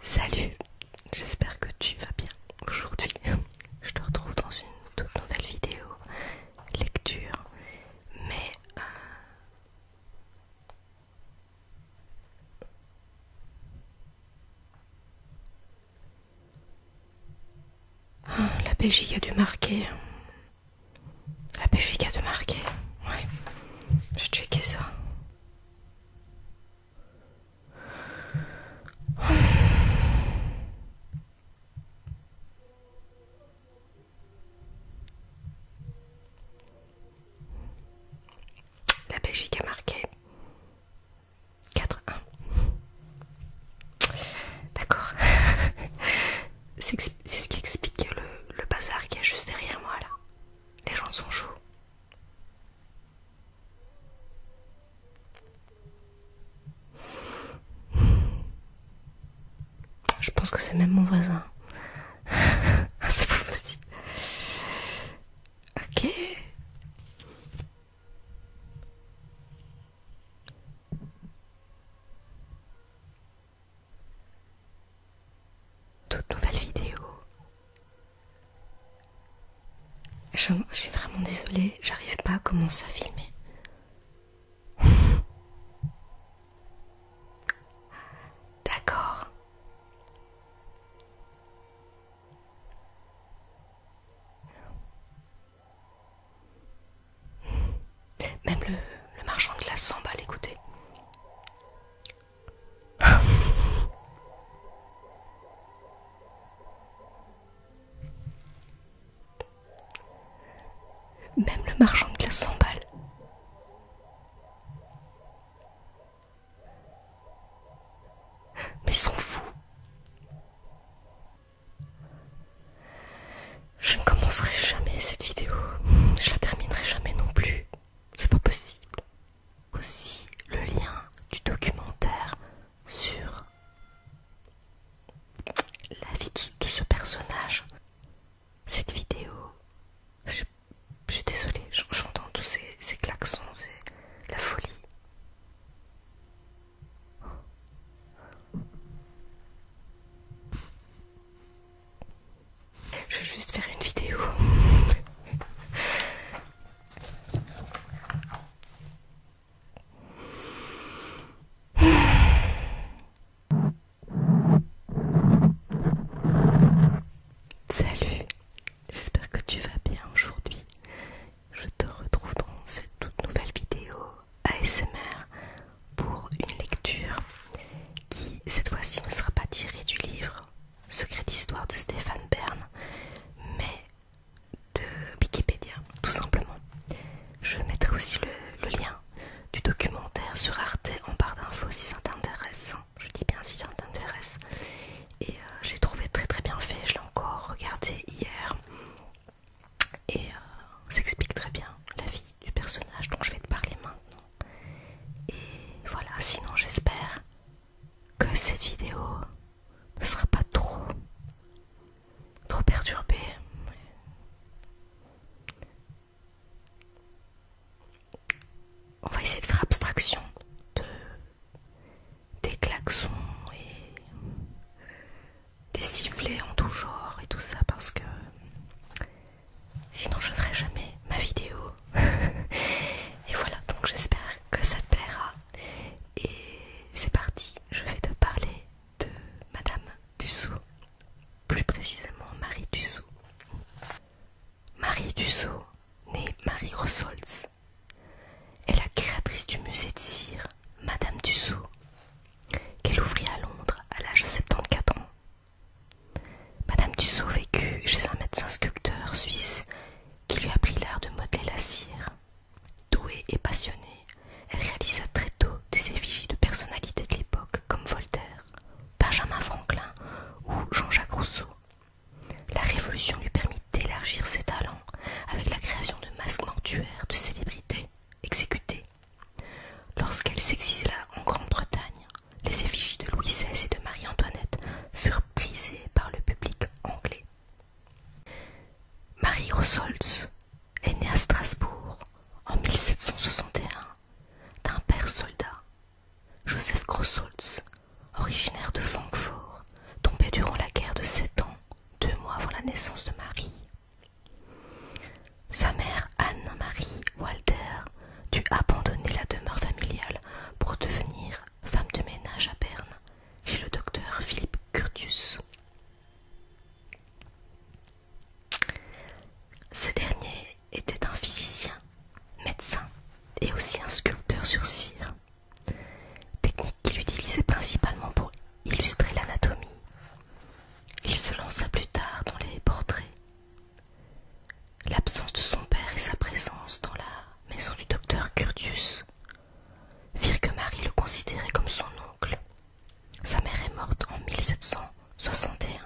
Salut, j'espère que tu vas bien aujourd'hui. Je te retrouve dans une toute nouvelle vidéo lecture, mais euh, ah, la Belgique a dû marquer hein. La a de marquer. Ouais. J'ai checké ça. La Belgique a marqué 4-1. D'accord. c'est ce qui explique le, bazar qui est juste derrière moi là. Les gens sont chauds. Je pense que c'est même mon voisin. c'est pas possible. Ok toute nouvelle vidéo. Je, suis vraiment désolée, j'arrive pas à commencer à filmer. D'accord. Même le, marchand de glace s'emballe, écoutez. Même le marchand de glace s'emballe. Mais ils sont fous. Je ne commencerai jamais cette vidéo. Je la terminerai jamais non plus. C'est pas possible. Aussi, le lien du documentaire sur la vie de ce personnage. Cette vidéo. Je, suis désolée, j'entends tous ces, klaxons, la folie. Je veux juste faire une vidéo. Salut, j'espère que tu vas bien aujourd'hui. Je te retrouve dans cette toute nouvelle vidéo ASMR pour une lecture qui, cette fois-ci, ne sera pas tirée du livre Secret d'histoire de Stéphane Bern, mais de Wikipédia, tout simplement. Je mettrai aussi le, lien du documentaire sur Arte en barre d'infos si ça t'intéresse. Je dis bien si ça t'intéresse. Et euh, j'ai trouvé très très bien fait, je l'ai encore regardé hier. Et ça euh, s'explique très bien la vie du personnage dont je vais te parler maintenant. Et voilà, sinon j'espère que cette vidéo ne sera pas trop, trop perturbée. On va essayer de faire abstraction de, des klaxons et des sifflets en tout genre et tout ça parce que sinon je ferai jamais ma vidéo. et voilà, donc j'espère que ça te plaira. Et c'est parti, je vais te parler de Madame Dussault, plus précisément Marie Dussault. Marie Dussault, née Marie Rossolz, est la créatrice du musée de cire Madame Dussault qu'elle ouvrit à Londres à l'âge de 74 ans. Madame Tussaud vécut chez un médecin sculpteur suisse qui lui apprit l'art de modeler la cire. Douée et passionnée, elle réalisa très tôt des effigies de personnalités de l'époque comme Voltaire, Benjamin Franklin ou Jean-Jacques Rousseau. La Révolution lui permit d'élargir ses talents avec la création de masques mortuaires de célébrités exécutés. Lorsqu'elle s'exila en Grande-Bretagne, les effigies de Louis XVI et de Marie-Antoinette furent prisées par le public anglais. Marie Grossolz est née à Strasbourg en 1761 d'un père soldat, Joseph Grossolz, originaire de Francfort, tombé durant la guerre de Sept ans, deux mois avant la naissance de Marie, sa mère, Anne-Marie Walter, dut abandonner la demeure familiale pour devenir femme de ménage à Berne chez le docteur Philippe Curtius. Ce dernier était un physicien, médecin et aussi un sculpteur sur cire, technique qu'il utilisait principalement pour illustrer l'anatomie, il se lança plus tard dans les portraits. L'absence de son père et sa présence dans la maison du docteur Curtius firent que Marie le considérait comme son oncle. Sa mère est morte en 1761.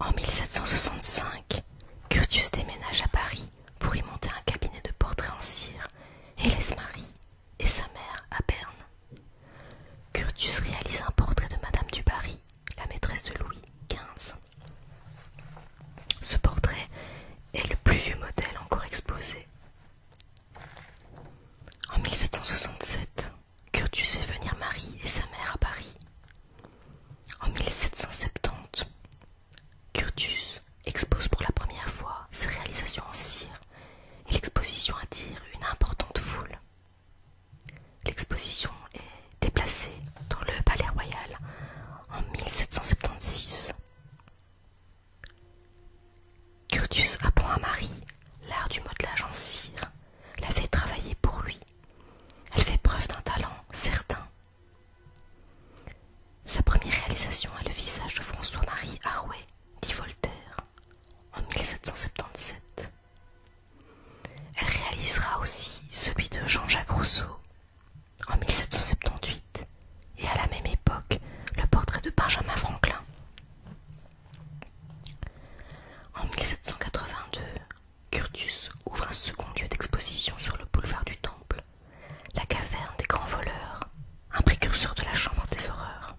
En 1765, Curtius déménage à Paris pour y monter un cabinet de portraits en cire et laisse Marie et sa mère à Berne. Curtus réalise un portrait de Madame du Barry, la maîtresse de Louis XV. Ce portrait est le plus vieux modèle encore exposé. En 1767, Curtus fait venir Marie et sa mère à Paris. En 1770, Curtus expose pour la première fois ses réalisations en cire et l'exposition attire une importante foule. L'exposition est déplacée dans le Palais Royal en 1776. Curtius apprend à Marie l'art du modelage en cire, l'avait fait travailler pour lui. Elle fait preuve d'un talent certain. Sa première réalisation est le visage de François-Marie Arouet, dit Voltaire en 1777. Elle réalisera aussi celui de Jean-Jacques Rousseau en 1778 et à la même époque le portrait de Benjamin Franklin. En 1782, Curtis ouvre un second lieu d'exposition sur le boulevard du Temple, la caverne des grands voleurs, un précurseur de la chambre des horreurs.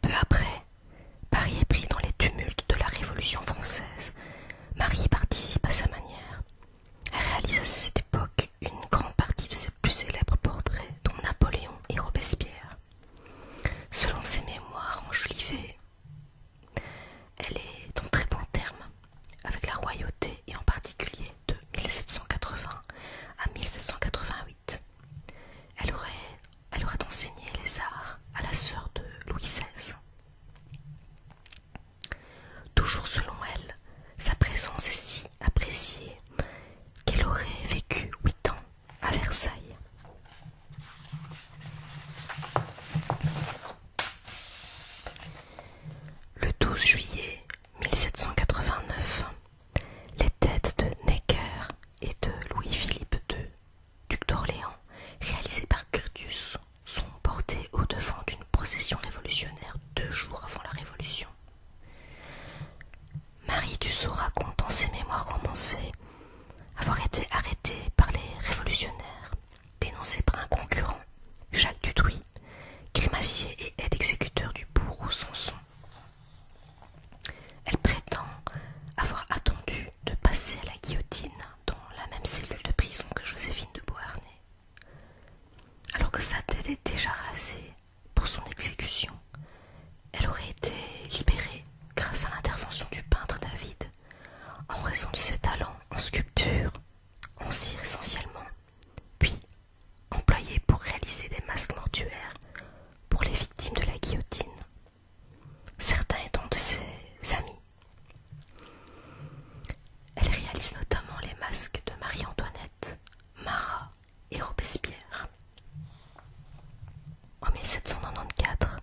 Peu après, Paris est pris dans les tumultes de la Révolution française. Marie participe à sa manière. Elle réalise à cette époque une grande partie de ses plus célèbres portraits, dont Napoléon et Robespierre. Selon ses mémoires enjolivées, elle est en très bon terme avec la royauté et en particulier de 1780 à 1788. Elle aurait, enseigné les arts à la sœur de Louis XVI. Toujours selon elle, sa présence est si appréciée qu'elle aurait vécu huit ans à Versailles. Le 12 juillet 1789, les têtes de Necker et de Louis-Philippe II, duc d'Orléans, réalisées par Curtius, sont portées au devant d'une procession révolutionnaire deux jours avant la Révolution. Marie Dussault raconte dans ses mémoires romancées avoir été arrêtée par les révolutionnaires, dénoncée par un concurrent, Jacques Dutruy, grimacier et aide-exécuteur du bourreau où elle prétend avoir attendu de passer à la guillotine dans la même cellule de prison que Joséphine de Beauharnais, alors que sa tête est déjà rasée pour son exécution. Elle aurait été libérée grâce à l'intervention du peintre David, en raison de ses talents en sculpture, en cire essentiellement, puis employée pour réaliser des masques mortuaires pour les victimes de la guillotine, certains étant de ses amis. Elle réalise notamment les masques de Marie-Antoinette, Marat et Robespierre. En 1794,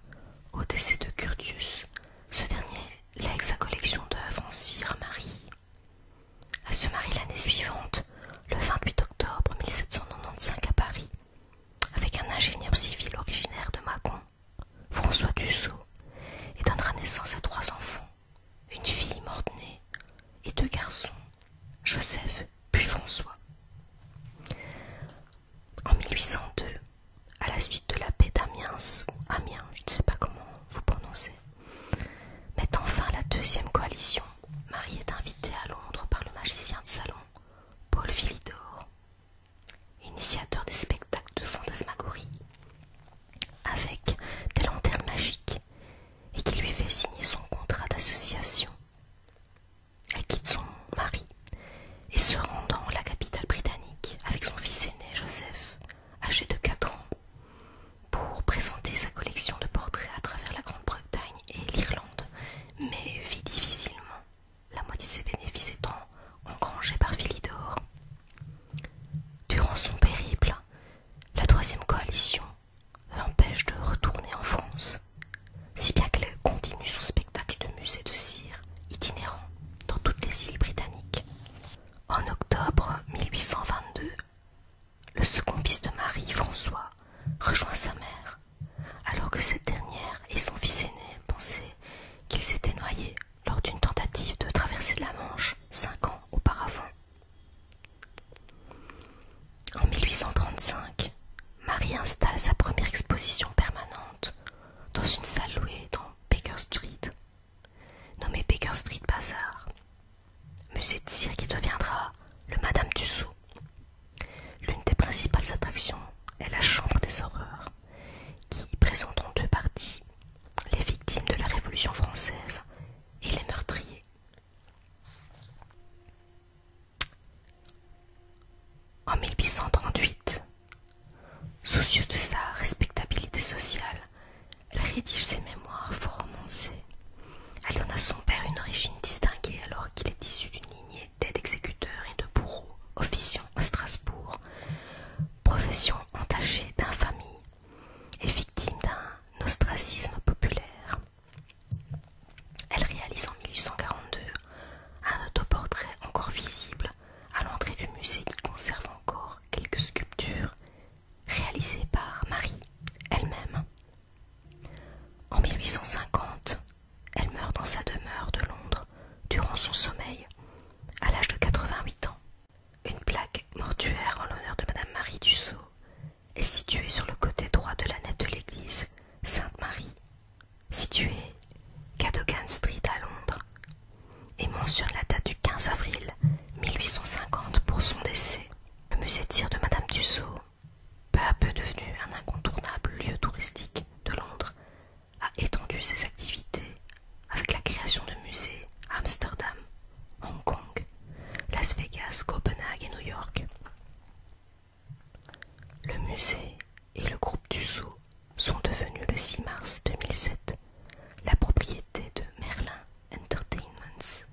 au décès de Curtius, ce dernier lègue sa collection d'œuvres en cire Marie elle se marie l'année suivante, le 28 octobre 1795 à Paris, avec un ingénieur civil originaire de Mâcon, François Dussault, et donnera naissance à trois enfants, une fille morte-née et deux garçons, Joseph puis François. En 1802, à la suite de la paix d'Amiens, ou Amiens, je ne sais pas comment vous prononcez, Met enfin la deuxième coalition. Marie est invitée à Londres par le magicien de salon, Paul Philidor, initiateur des spectacles de fantasmagorie, avec des lanternes magiques, et qui lui fait signer son contrat d'association. Elle quitte son mari et se rend dans la capitale britannique avec son fils aîné Joseph, âgé de 4 ans pour présenter sa collection de portraits à travers la Grande-Bretagne et l'Irlande, mais vit difficilement, la moitié de ses bénéfices étant engrangés par Philidor. Durant son périple, la Troisième Coalition l'empêche de retourner en France, si bien qu'elle continue son spectacle de musée de cire itinérant dans toutes les îles britanniques. En octobre 1822, le second fils de Marie, François, rejoint sa mère, alors que cette dernière et son fils aîné pensaient qu'ils s'étaient noyés lors d'une tentative de traverser la Manche cinq ans auparavant. En 1835, Marie installe sa première exposition permanente dans une salle louée dans Baker Street nommé Baker Street Bazaar, musée de cire qui deviendra le Madame Sou. L'une des principales attractions est la Chambre des horreurs, qui présente en deux parties les victimes de la Révolution française et les meurtriers. En 1838, soucieux de sa respectabilité sociale elle rédige ses mémoires fort romancées. Elle donne à son père une origine distinguée alors qu'il est issu d'une lignée d'aides-exécuteurs et de bourreaux, officiant à Strasbourg, profession entachée d'infamie et victime d'un ostracisme populaire. Elle réalise en 1842 un autoportrait encore visible à l'entrée du musée qui conserve encore quelques sculptures Réalisée par Marie elle-même. En 1850, elle meurt dans sa demeure de Londres durant son sommeil, à l'âge de 88 ans. Une plaque mortuaire en l'honneur de Madame Marie Dussault est située sur le côté droit de la nef de l'église Sainte-Marie, située Cadogan Street à Londres, et mentionne la date du 15 avril 1850 pour son décès. Le musée Tyr de Madame Dussault, peu à peu devenu un incontournable lieu touristique de Londres, a étendu ses activités avec la création de musées à Amsterdam, Hong Kong, Las Vegas, Copenhague et New York. Le musée et le groupe Tussaud sont devenus le 6 mars 2007 la propriété de Merlin Entertainments.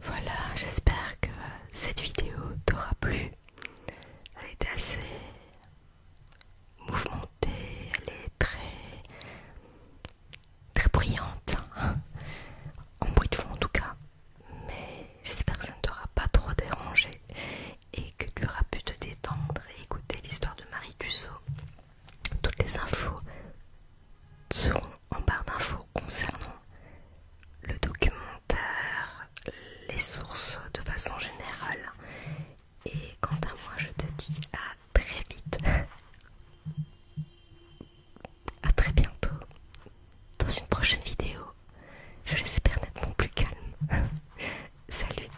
Voilà, j'espère que cette vidéo t'aura plu. Elle est assez mouvementée, elle est très, très brillante, hein. en bruit de fond en tout cas. Mais j'espère que ça ne t'aura pas trop dérangé et que tu auras pu te détendre et écouter l'histoire de Marie Tussaud. Toutes les infos seront en barre d'infos concernant le documentaire, les sources de façon générale. Et quant à moi, je te dis à très vite, à très bientôt dans une prochaine vidéo. Je l'espère nettement plus calme. Salut